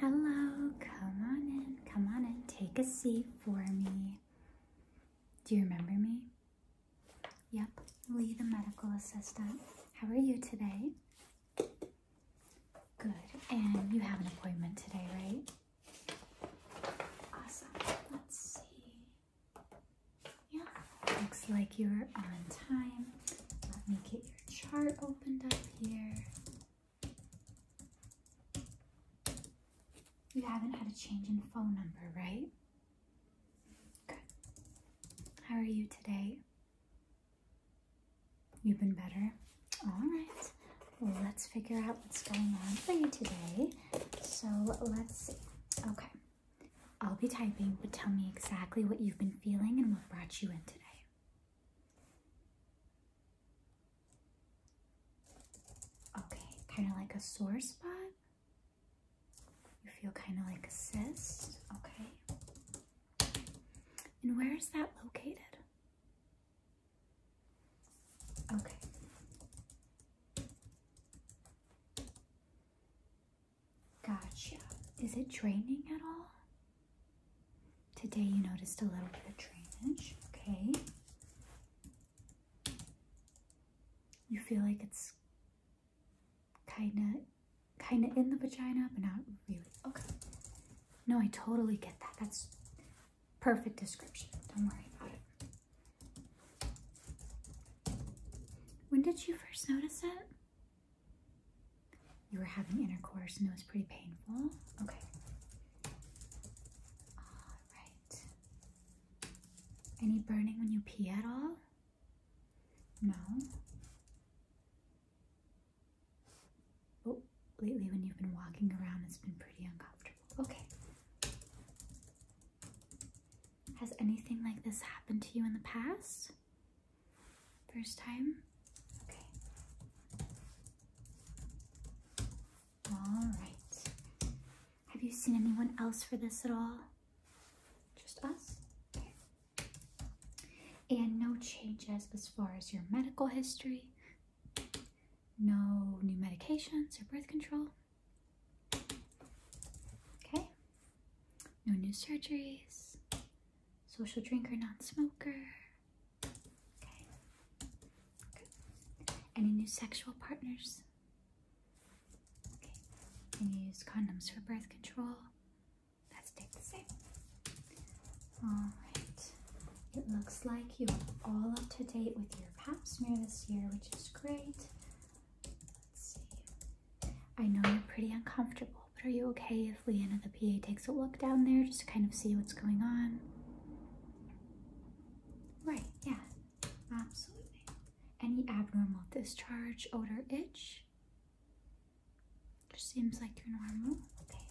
Hello, come on in, come on in, take a seat for me. Do you remember me? Yep, Lee, the medical assistant. How are you today? Good, and you have an appointment today, right? Awesome, let's see. Yeah, looks like you're on time. Let me get chart opened up here. You haven't had a change in phone number, right? Good. How are you today? You've been better? Alright. let's figure out what's going on for you today. So let's see. Okay. I'll be typing, but tell me exactly what you've been feeling and what brought you in today. Okay, kind of like a sore spot. You feel kind of like a cyst. Okay. And where is that located? Okay. Gotcha. Is it draining at all? Today you noticed a little bit of drainage. Okay. You feel like it's kinda kinda in the vagina, but not really. Okay. No, I totally get that. That's perfect description. Don't worry about it. When did you first notice it? You were having intercourse and it was pretty painful. Okay. All right. Any burning when you pee at all? No. Oh, lately when you've been walking around, it's been pretty uncomfortable. Okay. Has anything like this happened to you in the past? First time? Okay. Alright. Have you seen anyone else for this at all? Just us? And no changes as far as your medical history? No new medications or birth control? Okay. No new surgeries? Social drinker, non smoker. Okay. Good. Any new sexual partners? Okay. And you use condoms for birth control. That stayed the same. Alright. It looks like you're all up to date with your pap smear this year, which is great. Let's see. I know you're pretty uncomfortable, but are you okay if Leanna, the PA, takes a look down there just to kind of see what's going on? Right, yeah, absolutely. Any abnormal discharge, odor, itch? Just seems like you're normal. Okay.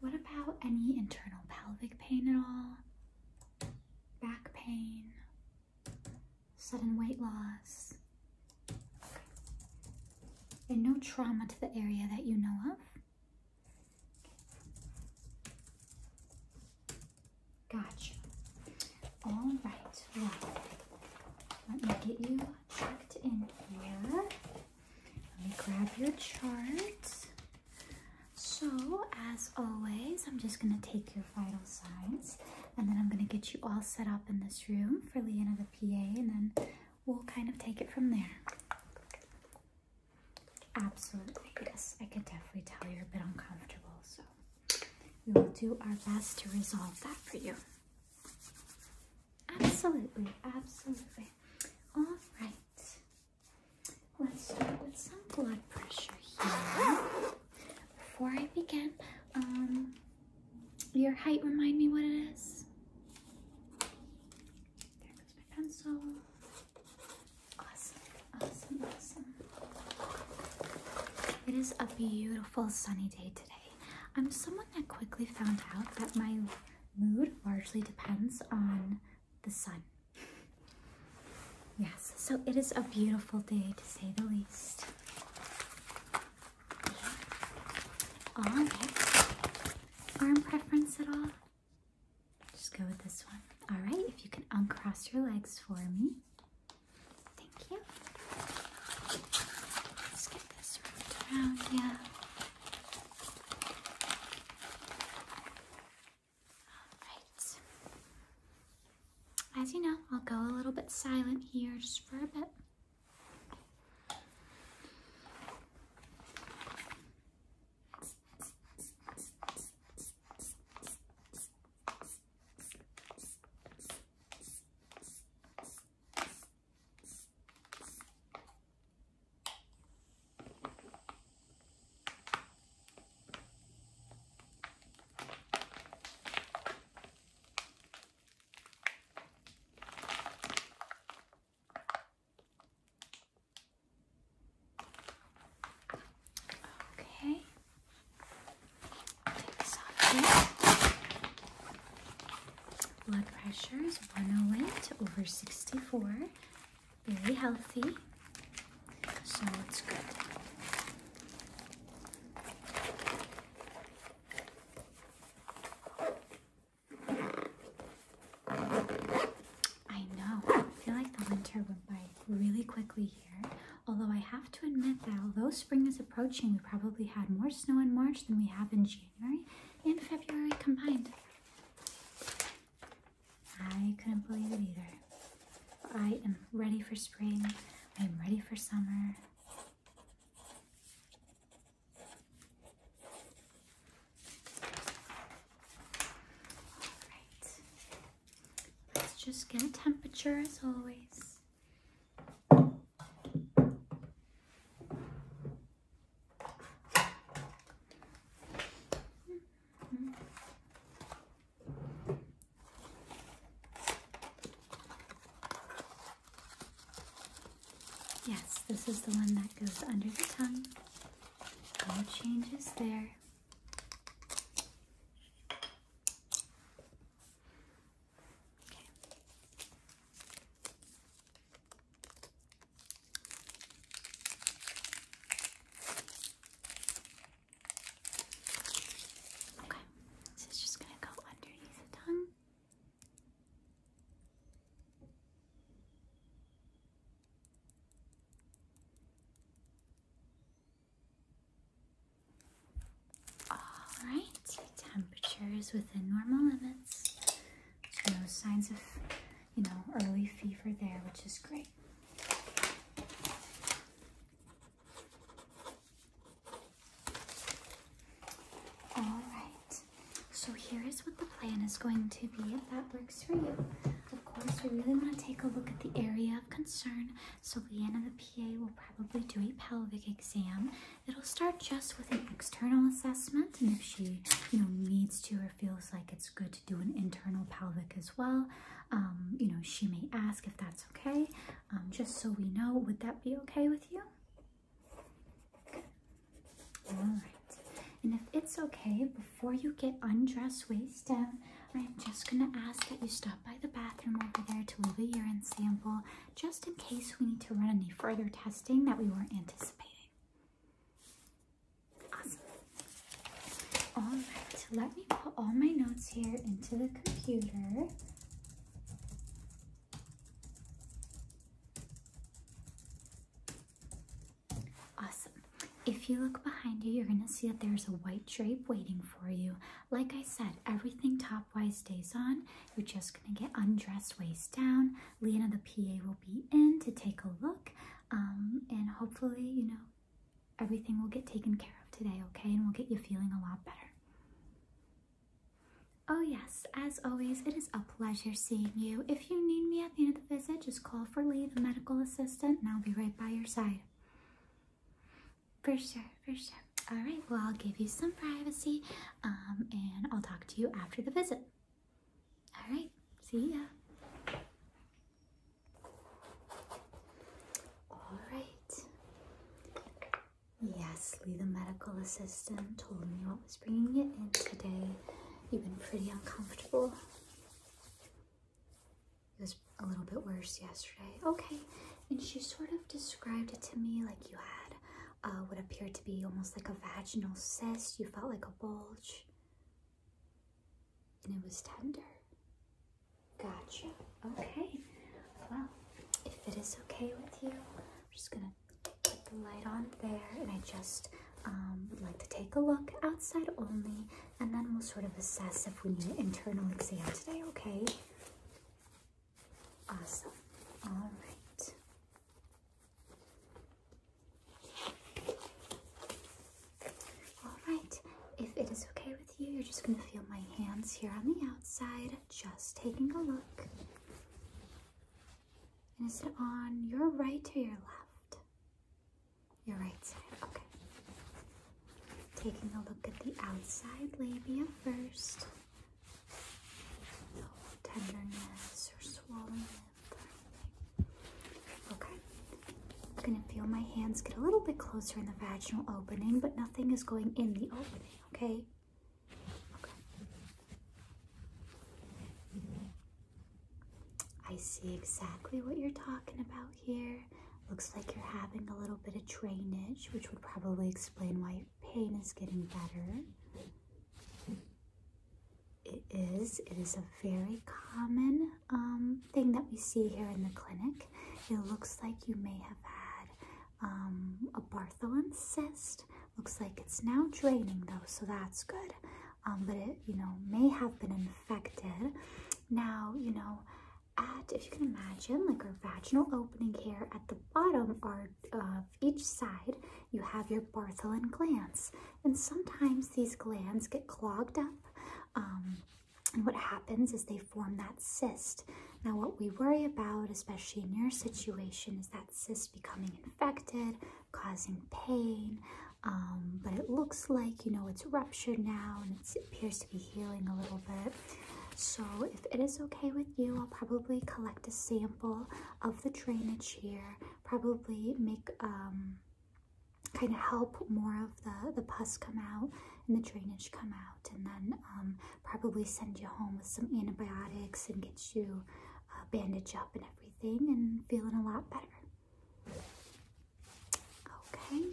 What about any internal pelvic pain at all? Back pain, sudden weight loss. And no trauma to the area that you know of. Gotcha. All right. let me get you checked in here. Let me grab your chart. So, as always, I'm just going to take your. Final signs. And then I'm going to get you all set up in this room for Leanna the PA, and then we'll kind of take it from there. Absolutely, yes. I could definitely tell you're a bit uncomfortable, so we will do our best to resolve that for you. Absolutely, absolutely. All right. Let's start with some blood pressure here. Before I begin, um, your height, remind me what it is. There goes my pencil. Awesome, awesome, awesome. It is a beautiful sunny day today. I'm someone that quickly found out that my mood largely depends on the sun. Yes, so it is a beautiful day to say the least. All right. Arm preference at all? Just go with this one. All right, if you can uncross your legs for me. Thank you. Let's get this around, yeah. As you know, I'll go a little bit silent here just for a bit. Okay. Take this off Blood pressure is 108 over 64 very healthy so it's good I know I feel like the winter went by really quickly here although I have to admit that although spring is approaching we probably had more snow in March than we have in January and February combined I couldn't believe it either. I am ready for spring. I am ready for summer. Alright. just get a temperature as always. Yes, this is the one that goes under the tongue. No changes there. Okay. Okay, so it's just going to go underneath the tongue. Alright, temperature is within normal limits. No signs of, you know, early fever there, which is great. All right, so here is what the plan is going to be if that works for you. Of course, we really want to take a look at the area of concern, so Leanna, the PA, will probably do a pelvic exam. It'll start just with an external assessment, and if she, you know, needs to or feels like it's good do an internal pelvic as well. Um, you know, she may ask if that's okay, um, just so we know. Would that be okay with you? All right. And if it's okay, before you get undressed waist down, I'm just gonna ask that you stop by the bathroom over there to leave a urine sample, just in case we need to run any further testing that we weren't anticipating. Awesome. All right, let me put all my notes here into the computer. Awesome. If you look behind you, you're gonna see that there's a white drape waiting for you. Like I said, everything top-wise stays on. You're just gonna get undressed waist down. Leanna, the PA, will be in to take a look. Um, and hopefully, you know, Everything will get taken care of today, okay? And we'll get you feeling a lot better. Oh, yes, as always, it is a pleasure seeing you. If you need me at the end of the visit, just call for Lee, the medical assistant, and I'll be right by your side. For sure, for sure. All right, well, I'll give you some privacy um, and I'll talk to you after the visit. All right, see ya. All right. Yesly, the medical assistant, told me what was bringing you in today. You've been pretty uncomfortable. It was a little bit worse yesterday. Okay. And she sort of described it to me like you had uh, what appeared to be almost like a vaginal cyst. You felt like a bulge. And it was tender. Gotcha. Okay. Well, if it is okay with you, I'm just gonna put the light on there and I just um, like to take a look outside only and then we'll sort of assess if we need an internal exam today, okay? Awesome. All right. Alright, if it is okay with you, you're just going to feel my hands here on the outside, just taking a look. And is it on your right or your left? Your right side, okay. Taking a look at the outside labia first. No tenderness or swelling. Okay. I'm gonna feel my hands get a little bit closer in the vaginal opening, but nothing is going in the opening, okay? Okay. I see exactly what you're talking about here. Looks like you're having a little bit of drainage, which would probably explain why pain is getting better it is. It is a very common um, thing that we see here in the clinic. It looks like you may have had um, a Bartholin cyst. Looks like it's now draining though, so that's good. Um, but it, you know, may have been infected. Now, you know, at, if you can imagine, like our vaginal opening here at the bottom are, of uh, each side, you have your Bartholin glands. And sometimes these glands get clogged up. Um, and what happens is they form that cyst. Now, what we worry about, especially in your situation, is that cyst becoming infected, causing pain. Um, but it looks like, you know, it's ruptured now and it appears to be healing a little bit. So if it is okay with you, I'll probably collect a sample of the drainage here, probably make um, kind of help more of the the pus come out and the drainage come out and then um, probably send you home with some antibiotics and get you uh, bandaged up and everything and feeling a lot better okay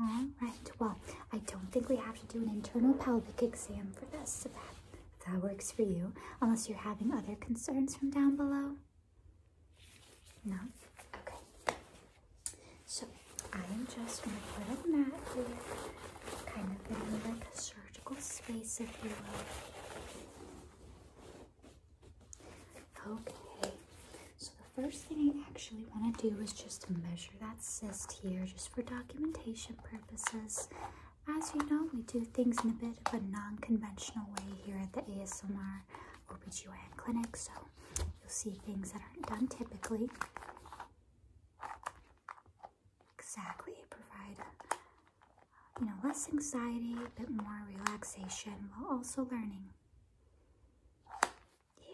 all right well i don't think we have to do an internal pelvic exam for this if that works for you unless you're having other concerns from down below no? Okay. So I am just going to put a mat here, kind of in like a surgical space, if you will. Okay. So the first thing I actually want to do is just measure that cyst here, just for documentation purposes. As you know, we do things in a bit of a non-conventional way here at the ASMR our OBGYN clinic, so you'll see things that aren't done typically. Exactly, provide you know less anxiety, a bit more relaxation while also learning. Yeah.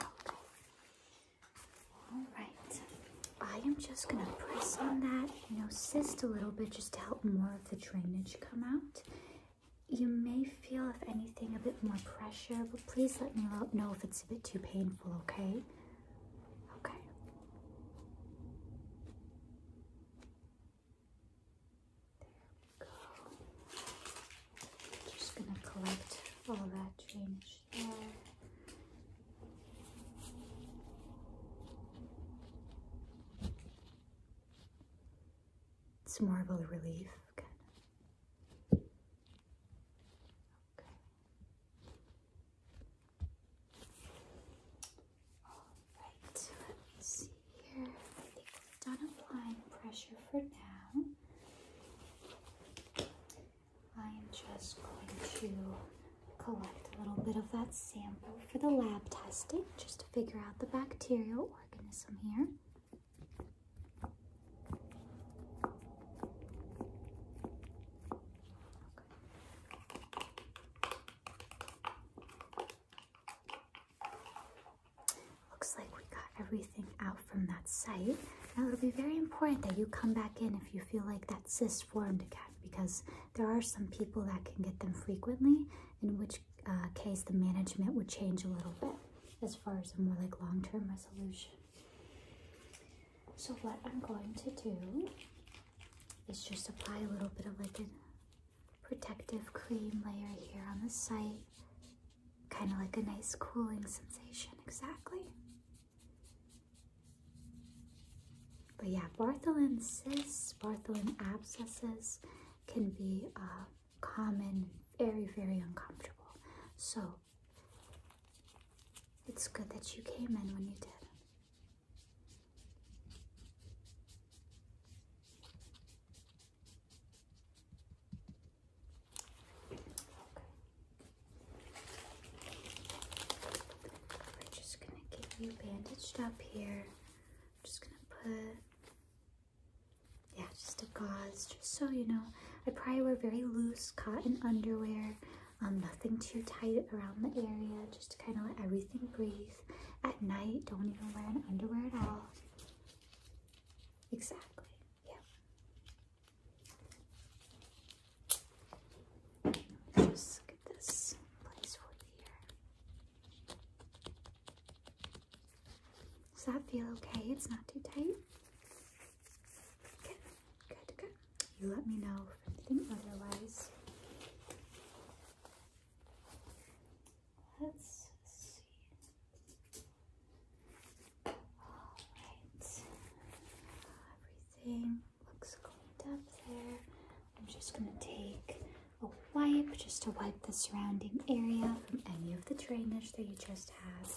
Okay. All right. I am just gonna press on that, you know, cyst a little bit just to help more of the drainage come out. You may feel, if anything, a bit more pressure, but please let me know if it's a bit too painful, okay? Okay. There we go. Just gonna collect all that drainage it's more of a relief, Okay. Alright, let me see here. I think we've done applying pressure for now. I am just going to collect a little bit of that sample for the lab testing, just to figure out the bacterial organism here. Looks like we got everything out from that site. Now it'll be very important that you come back in if you feel like that cyst just form to cat because there are some people that can get them frequently, in which uh, case the management would change a little bit as far as a more like long-term resolution. So what I'm going to do is just apply a little bit of like a protective cream layer here on the site, kind of like a nice cooling sensation, exactly. But yeah, Bartholin cysts, Bartholin abscesses can be uh, common, very, very uncomfortable. So it's good that you came in when you did. I'm just gonna get you bandaged up here. I'm just gonna put, yeah, just a gauze, just so you know. I probably wear very loose cotton underwear, um, nothing too tight around the area, just to kind of let everything breathe. At night, don't even wear an underwear at all. Exactly, yeah. Does that feel okay? It's not too tight? Good, good, good. You let me know otherwise. Let's see. All right. Everything Looks cleaned up there. I'm just going to take a wipe just to wipe the surrounding area from any of the drainage that you just had.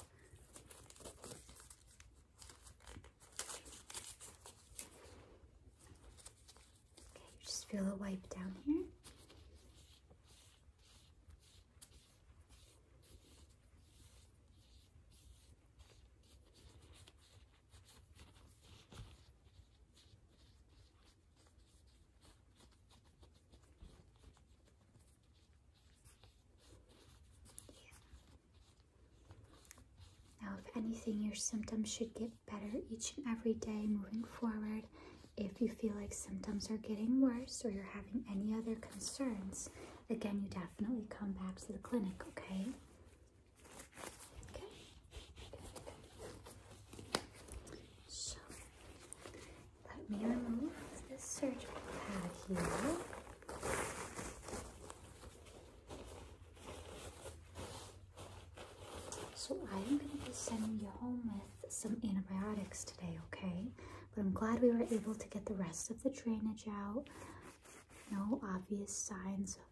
Okay, just feel a wipe down here. Now, if anything, your symptoms should get better each and every day moving forward. If you feel like symptoms are getting worse or you're having any other concerns, again, you definitely come back to the clinic, okay? Okay. So let me remove this surgical pad here. So I am going to be sending you home with some antibiotics today, okay? But I'm glad we were able to get the rest of the drainage out no obvious signs of,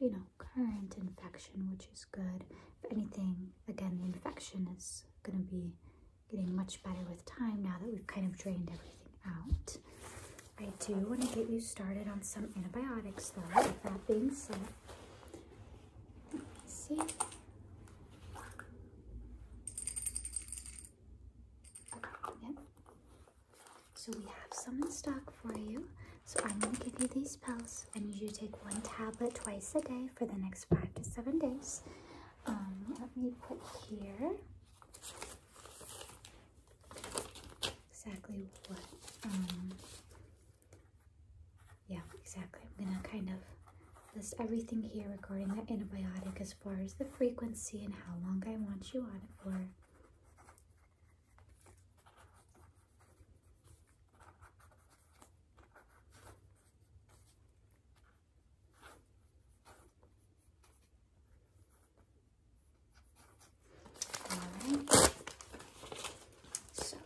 you know, current infection, which is good. If anything, again, the infection is going to be getting much better with time now that we've kind of drained everything out. I do want to get you started on some antibiotics though, with that being said. see? So we have some in stock for you. So I'm going to give you these pills. and you should take one tablet twice a day for the next five to seven days. Um, let me put here exactly what, um, yeah, exactly. I'm going to kind of list everything here regarding the antibiotic as far as the frequency and how long I want you on it for. Alright, so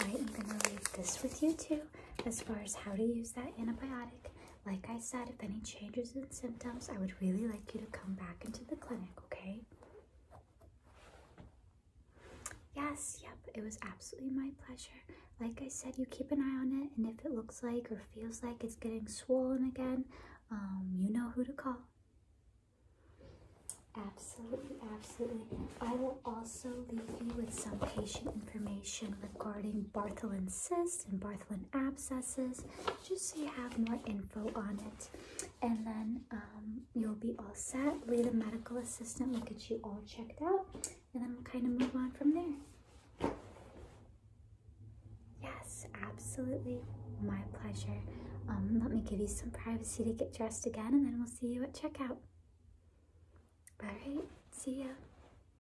I am going to leave this with you too as far as how to use that antibiotic like I said, if any changes in symptoms, I would really like you to come back into the clinic, okay? Yes, yep, it was absolutely my pleasure. Like I said, you keep an eye on it, and if it looks like or feels like it's getting swollen again, um, you know who to call. Absolutely, absolutely. I will also leave you with some patient information regarding Bartholin's cyst and Bartholin abscesses, just so you have more info on it. And then um, you'll be all set. We, the medical assistant will get you all checked out, and then we'll kind of move on from there. Yes, absolutely. My pleasure. Um, let me give you some privacy to get dressed again, and then we'll see you at checkout. All right, see ya.